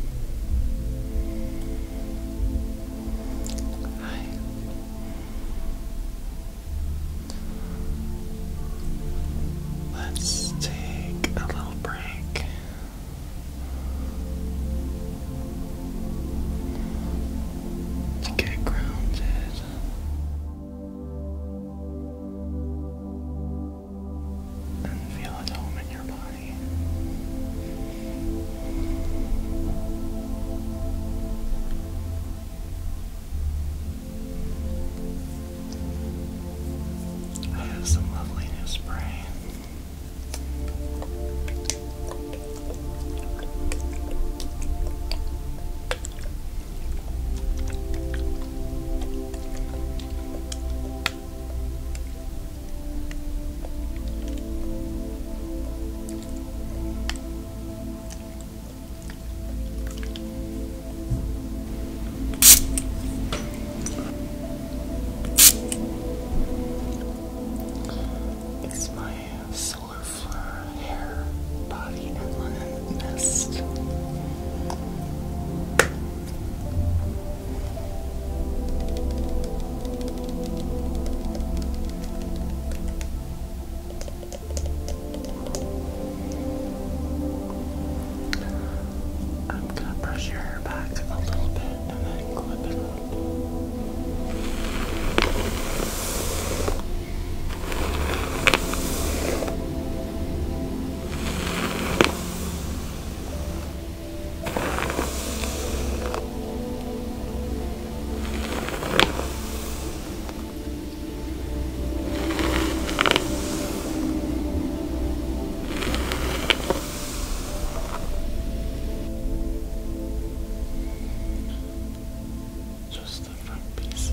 Hi. Let's take a little break. To get grounded and feel at home in your body. I have some lovely new spray. It's my solar flare hair, body, and linen mist. I'm gonna brush your hair back a little bit and then clip it up. Just the front pieces.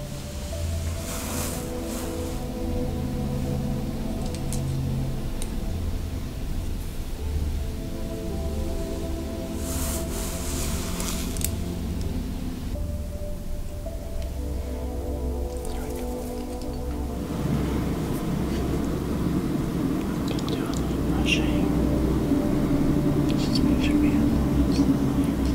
Don't do any brushing. Just make sure we have all those lines.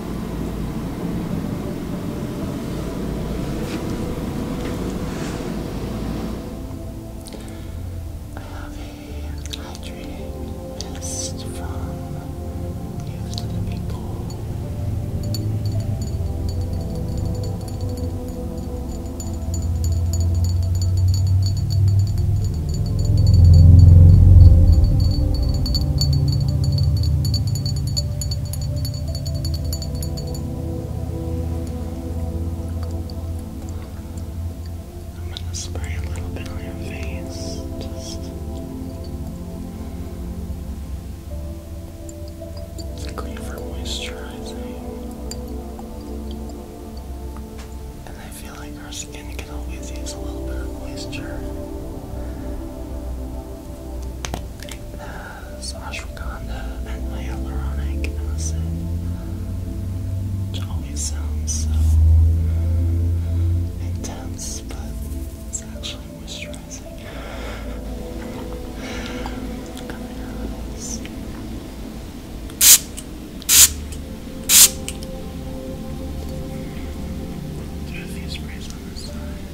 I have a hydrating mist from Youth to People. I'm going to spray a little bit on your face. Just clean for moisturizing. And I feel like our skin can always use a little bit of moisture ashwagandha and hyaluronic acid, which always sounds so intense, but it's actually moisturizing. Do a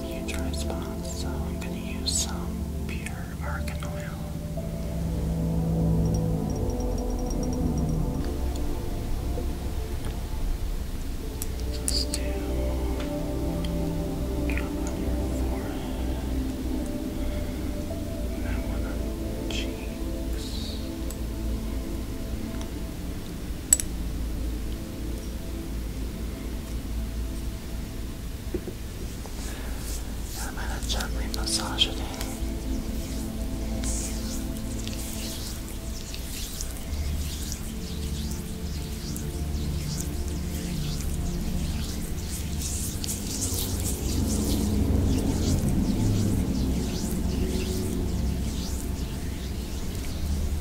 future response, so I'm going to use some pure argan oil. Just do drop on your forehead, and then on the cheeks. I'm gonna gently massage it.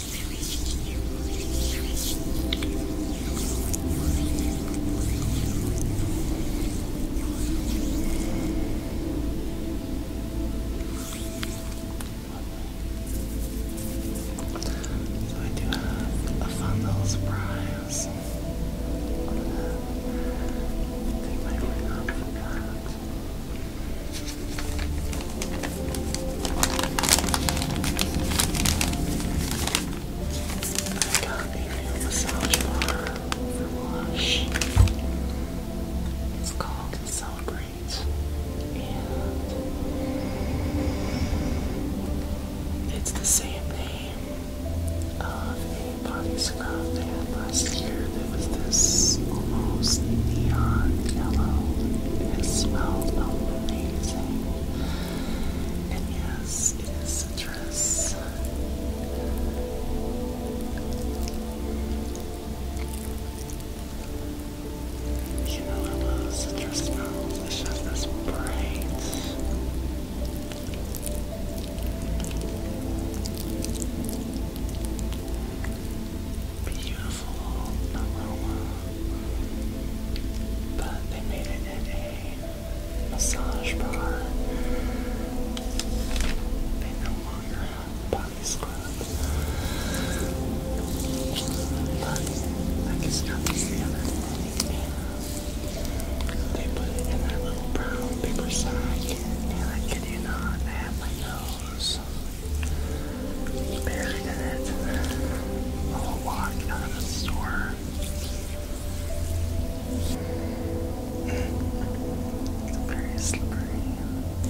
So I do have a fun little surprise. Take my ring off of that. I got a new massage bar It's called Celebrate. And it's the same name of a body scrub they had last year. There was this almost neon yellow. It smelled amazing. And yes, it is a You know I love citrus smells. It's just this bright. Beautiful Buffalo, Oklahoma. But they made it at a massage bar. They no longer have body scrubs. But I guess that they put it in that little brown paper sack. And I kid you not, I had my nose buried in it. A little walk out of the store. Very slippery.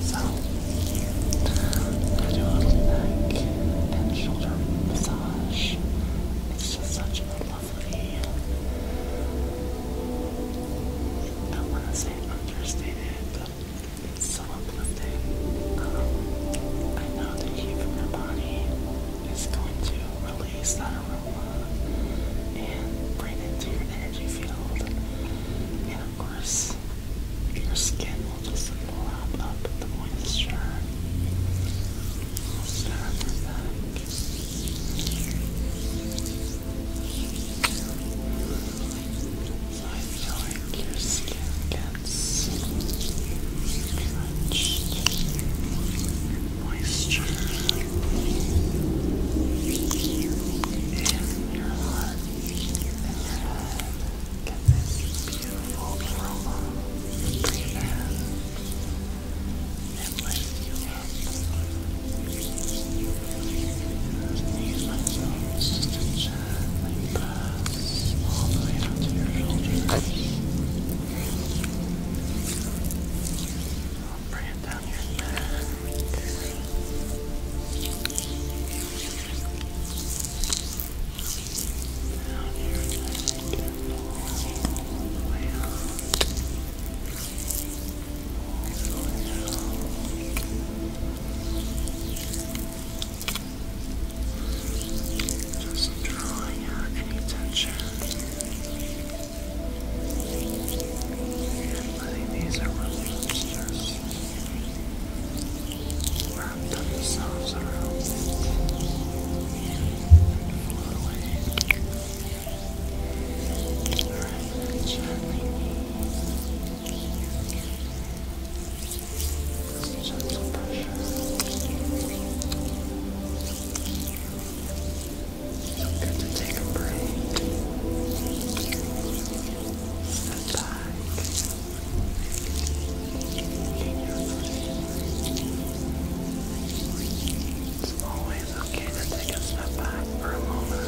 So, I do a little neck and shoulder massage. It's just such a lovely, I want to say understated, but it's so uplifting. Um, I know the your body is going to release that aroma and bring it to your energy field. And of course, your skin will just lap up the moisture. Start with that. I feel like your skin gets drenched in moisture in your heart, in beautiful aroma breathe and lift you knees myself just to like pass all the way down to your shoulders. I'll bring it down your Down your all the way out. All the way out. Just drawing out any tension and letting these aromas just wrap themselves around it and away. Just Good to take a break. Step back. It's always okay to take a step back for a moment.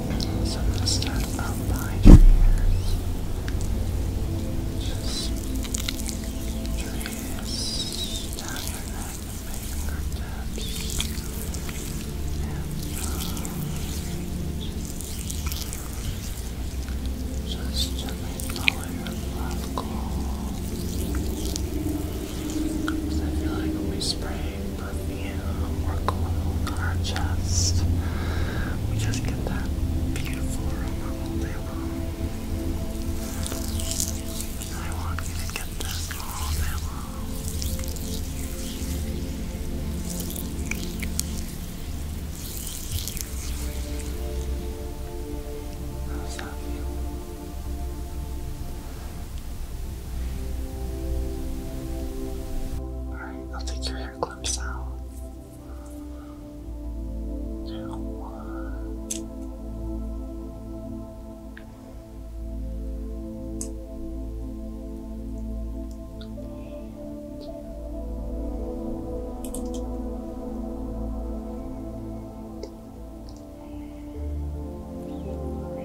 So I'm going to start up behind your ears. Just trace down your neck and fingertips. And um, just gently follow your left claw. I feel like when we spray perfume or cologne on our chest. We just get that beautiful aroma all day long. I want you to get this all day long. How's that feel? I'll take your hair clips out. Now one. I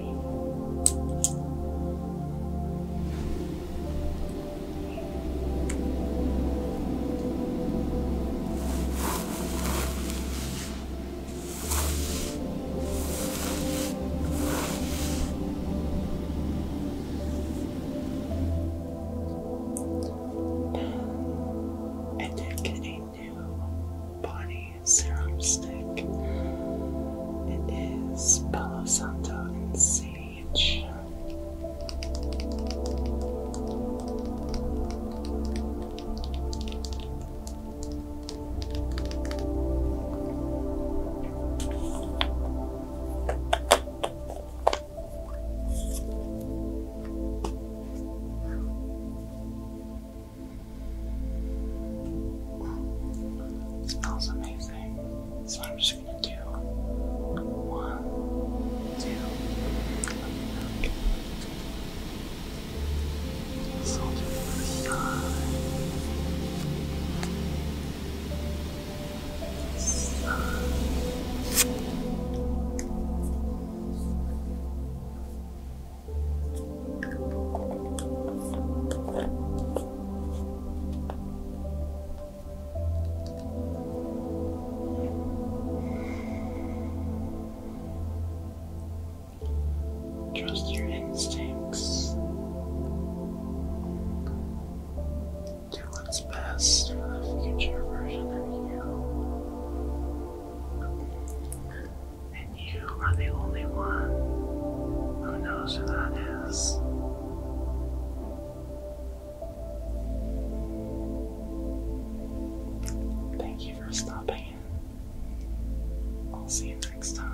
did get new body serum it is Palo Santo and Sage. It smells amazing. So I'm just gonna do one, two, okay. so the side. Trust your instincts. Do what's best for the future version of you and you are the only one who knows who that is. Thank you for stopping I'll see you next time.